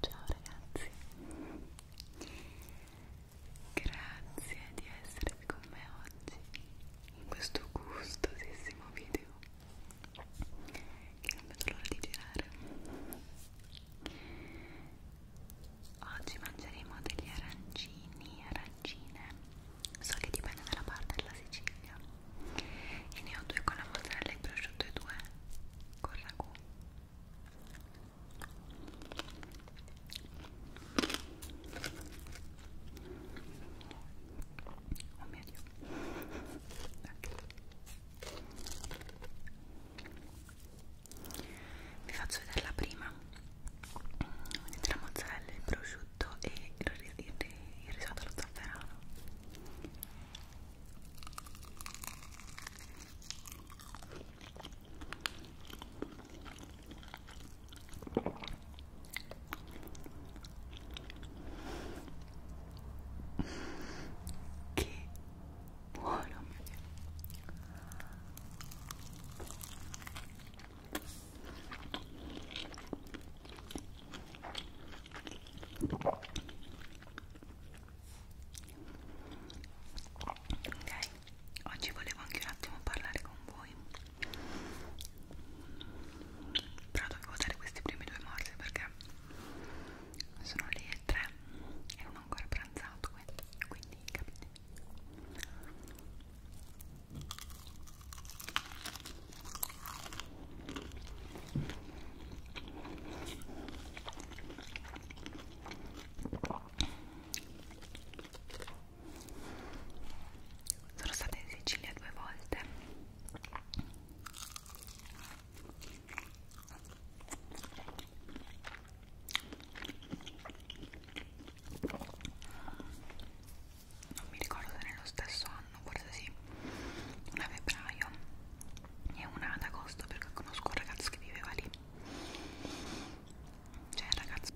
Ciao ragazzi, grazie di essere qui con me oggi in questo gustosissimo video che non vedo l'ora di girare Oggi mangeremo degli arancini, arancine, so che dipende dalla parte della Sicilia e ne ho due con la mozzarella e prosciutto e due con ragù Oh mio Dio, okay vi faccio vedere la prima vedete la mozzarella, il prosciutto e il, ris il, ris il risotto allo zafferano che buono mio Dio. Ok, oggi volevo anche un attimo parlare con voi. Però dovevo usare queste prime due morse perché sono le 3 e non ho ancora pranzato eh. quindi capite sono stata in Sicilia due volte non mi ricordo se nello stesso anno forse sì una a febbraio e una ad agosto perché conosco un ragazzo che viveva lì c'è cioè, un ragazzo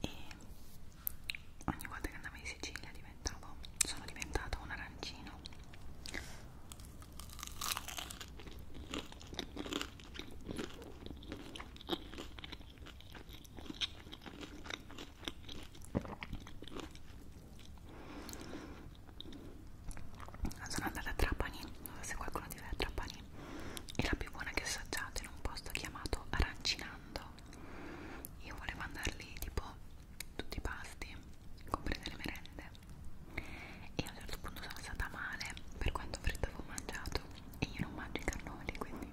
e ogni volta che andavo in Sicilia diventavo sono diventata un arancino sono andata a Trapani, se qualcuno di voi a Trapani è la più buona che ho assaggiato in un posto chiamato Arancinando io volevo andare lì tipo tutti i pasti comprese le merende e a un certo punto sono stata male per quanto freddo avevo mangiato e io non mangio i cannoli quindi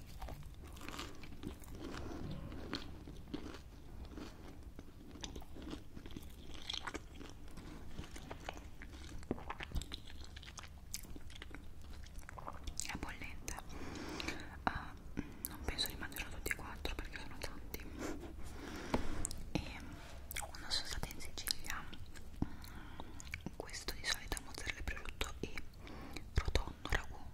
è bollente uh, non penso di mangiare tutti e quattro perché sono tanti e quando sono stata in Sicilia mm, questo di solito è mozzarella e prosciutto e rotondo ragù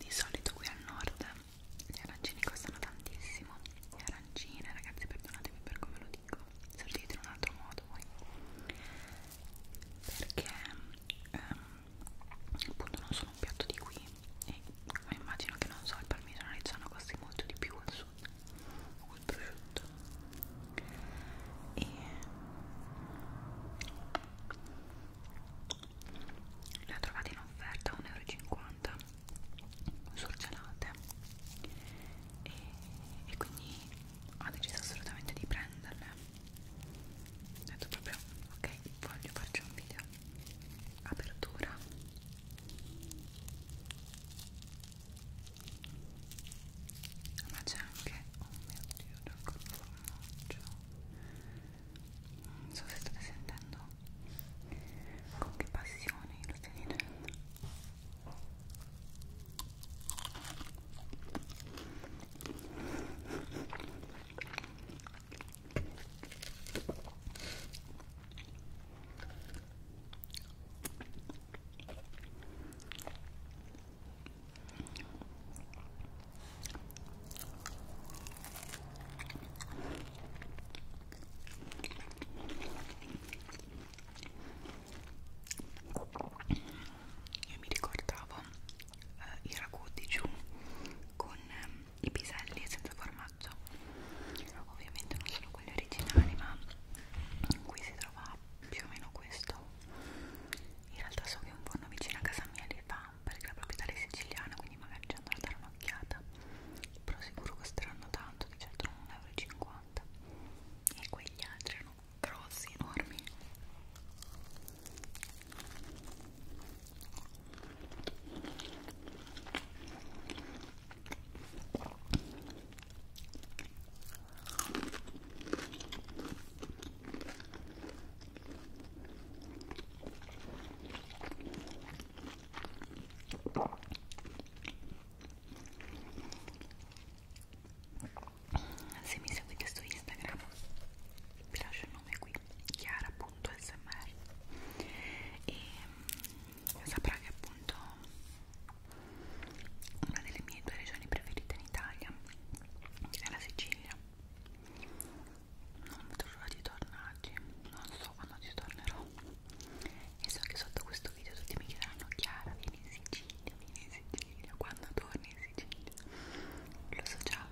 Di solito qui al nord gli arancini costano tantissimo. Le arancine, ragazzi, perdonatemi per come lo dico, se lo dite in un altro modo voi. Perché ehm, appunto non sono un piatto di qui, e come immagino che non so il parmigiano reggiano costi molto di più al sud o il prosciutto e le ho trovate in offerta a 1,50€ surgelate e, e quindi ho deciso assolutamente di prenderle ho detto proprio ok voglio farci un video apertura ma c'è anche oh mio dio da formaggio non so se state sentendo con che passione lo stai dicendo io mi ricordavo eh, i ragù di giù con ehm, i piselli senza formaggio ovviamente non sono quelli originali ma qui si trova più o meno questo in realtà so che un forno vicino a casa mia li fa perché la proprietaria è siciliana quindi magari ci andrò a dare un'occhiata però sicuro costeranno tanto di certo non 1,50 euro e quegli altri erano grossi, enormi se mi seguite su Instagram vi lascio il nome qui, Chiara www.smr e mm, saprà che appunto una delle mie due regioni preferite in Italia è la Sicilia non vedo l'ora di tornarci non so quando ci tornerò e so che sotto questo video tutti mi chiederanno Chiara vieni in Sicilia vieni in Sicilia quando torni in Sicilia lo so già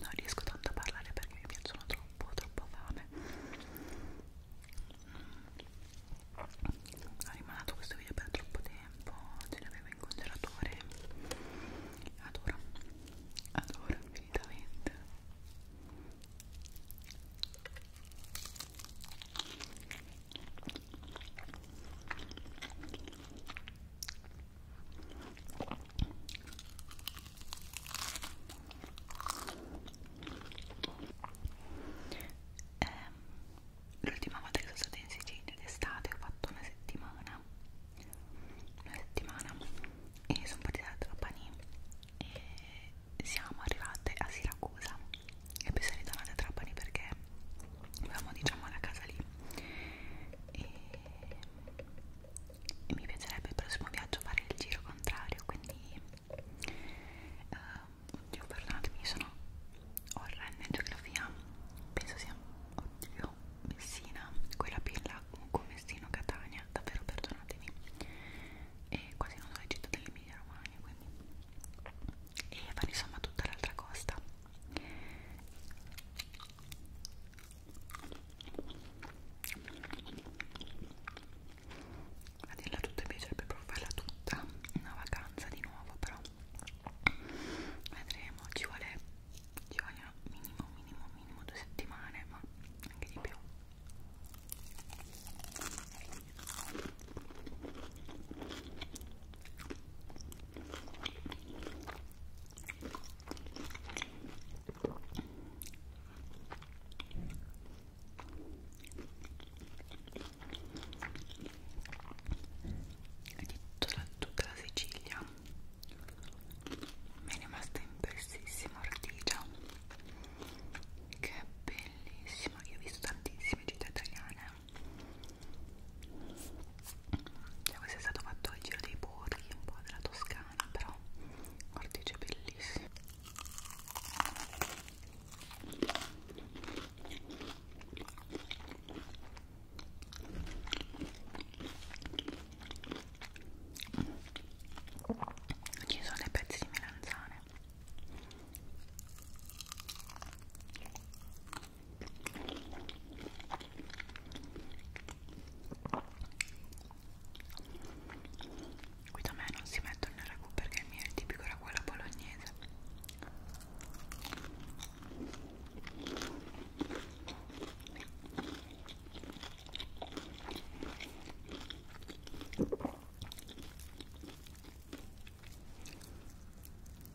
non riesco tanto a parlare perché mi piacciono troppo, troppo fame mm. ho rimanato questo video per troppo tempo ce l'avevo in congelatore adoro adoro infinitamente eh, L'ultima volta che sono stata in Sicilia d'estate ho fatto una settimana una settimana e sono partita da Trapani e siamo arrivate a Siracusa e poi sono ritornate a Trapani perché avevamo diciamo la casa lì e e mi piacerebbe il prossimo viaggio fare il giro contrario quindi uh, oddio perdonatemi sono orrenda in geografia penso sia oddio Messina quella pilla con Messino Catania davvero perdonatemi e quasi non so le città dell'Emilia Romagna quindi e fare insomma tutta l'altra costa a dirla tutta mi piacerebbe provarla tutta una vacanza di nuovo però vedremo ci vuole ci vogliono minimo minimo minimo due settimane ma anche di più di tutta la, tutta la Sicilia mi è rimasta impressissima Ortigia che è bellissima io ho visto tantissime città italiane cioè questo è stato fatto il giro dei borghi un po' della Toscana però cortecce bellissimo ci sono dei pezzi di melanzane qui da me non si mettono nel ragù perché il mio è il tipico ragù alla bolognese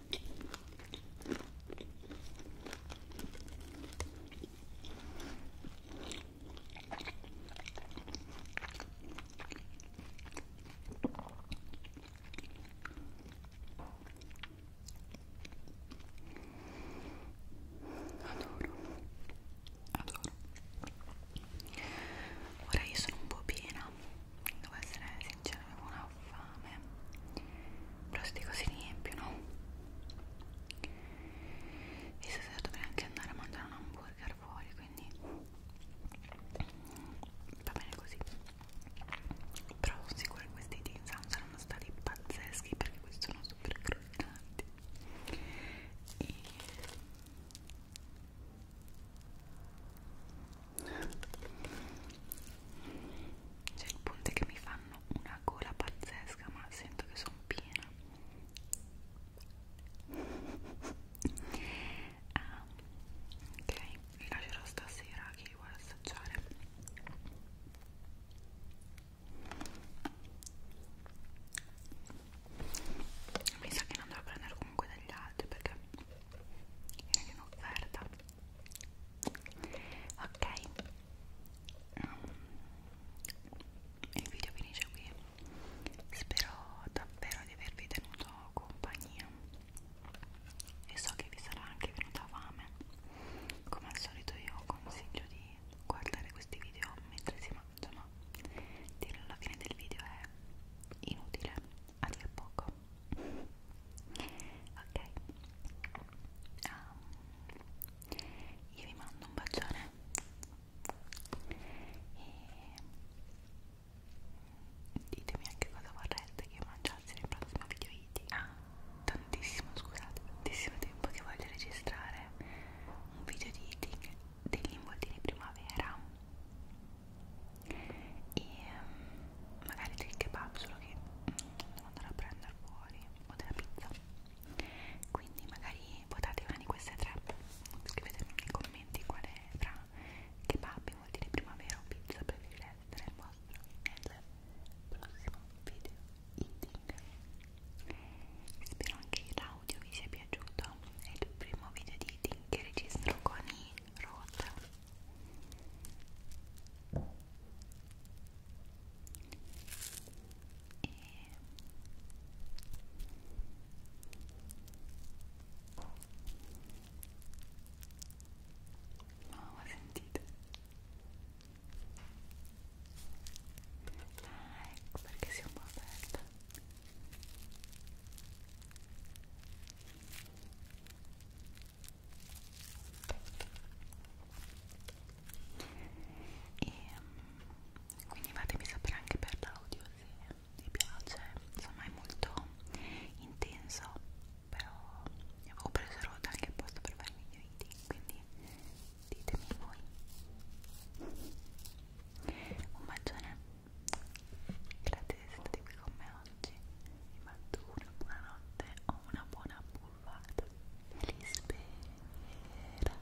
Adoro, adoro. Ora io sono un po' piena devo essere sincera avevo una fame però sti cose riempiono e stasera dovrei anche andare a mangiare un hamburger fuori quindi mm, va bene così però sono sicura che questi di Sam saranno stati pazzeschi perché questi sono super croccanti e cioè il punto è che mi fanno una gola pazzesca ma sento che sono piena ah, ok, li lascerò stasera a chi vuole assaggiare mi sa che non andrò a prendere comunque degli altri perché era in offerta ok il video finisce qui spero davvero di avervi tenuto compagnia e so che vi sarà anche venuta fame come al solito io consiglio di guardare questi video mentre si mangia ma dirlo alla fine del video è inutile a dir poco ok um, io vi mando un bacione e ditemi anche cosa vorreste che mangiassi nel prossimo video eating ah, tantissimo scusate tantissimo tempo che voglio registrare un video di eating degli involtini primavera e um, magari del kebab solo che mm, devo andare a prendere fuori o della pizza quindi magari votate una di queste tre scrivetemi nei commenti quale fra kebab vuol dire primavera o pizza preferirete nel vostro nel prossimo video eating spero anche l'audio vi sia piaciuto è il primo video di eating che registro con i road e no ma sentite like ah, ecco perché siamo aperta e mm, quindi fatemi sapere anche per l'audio se vi piace insomma è molto intenso però ne avevo preso roda anche apposta per fare i miei video quindi ditemi voi un bacione Grazie di sentirmi con me oggi. Vi mando una buona notte o una buona buffata. Felice spera.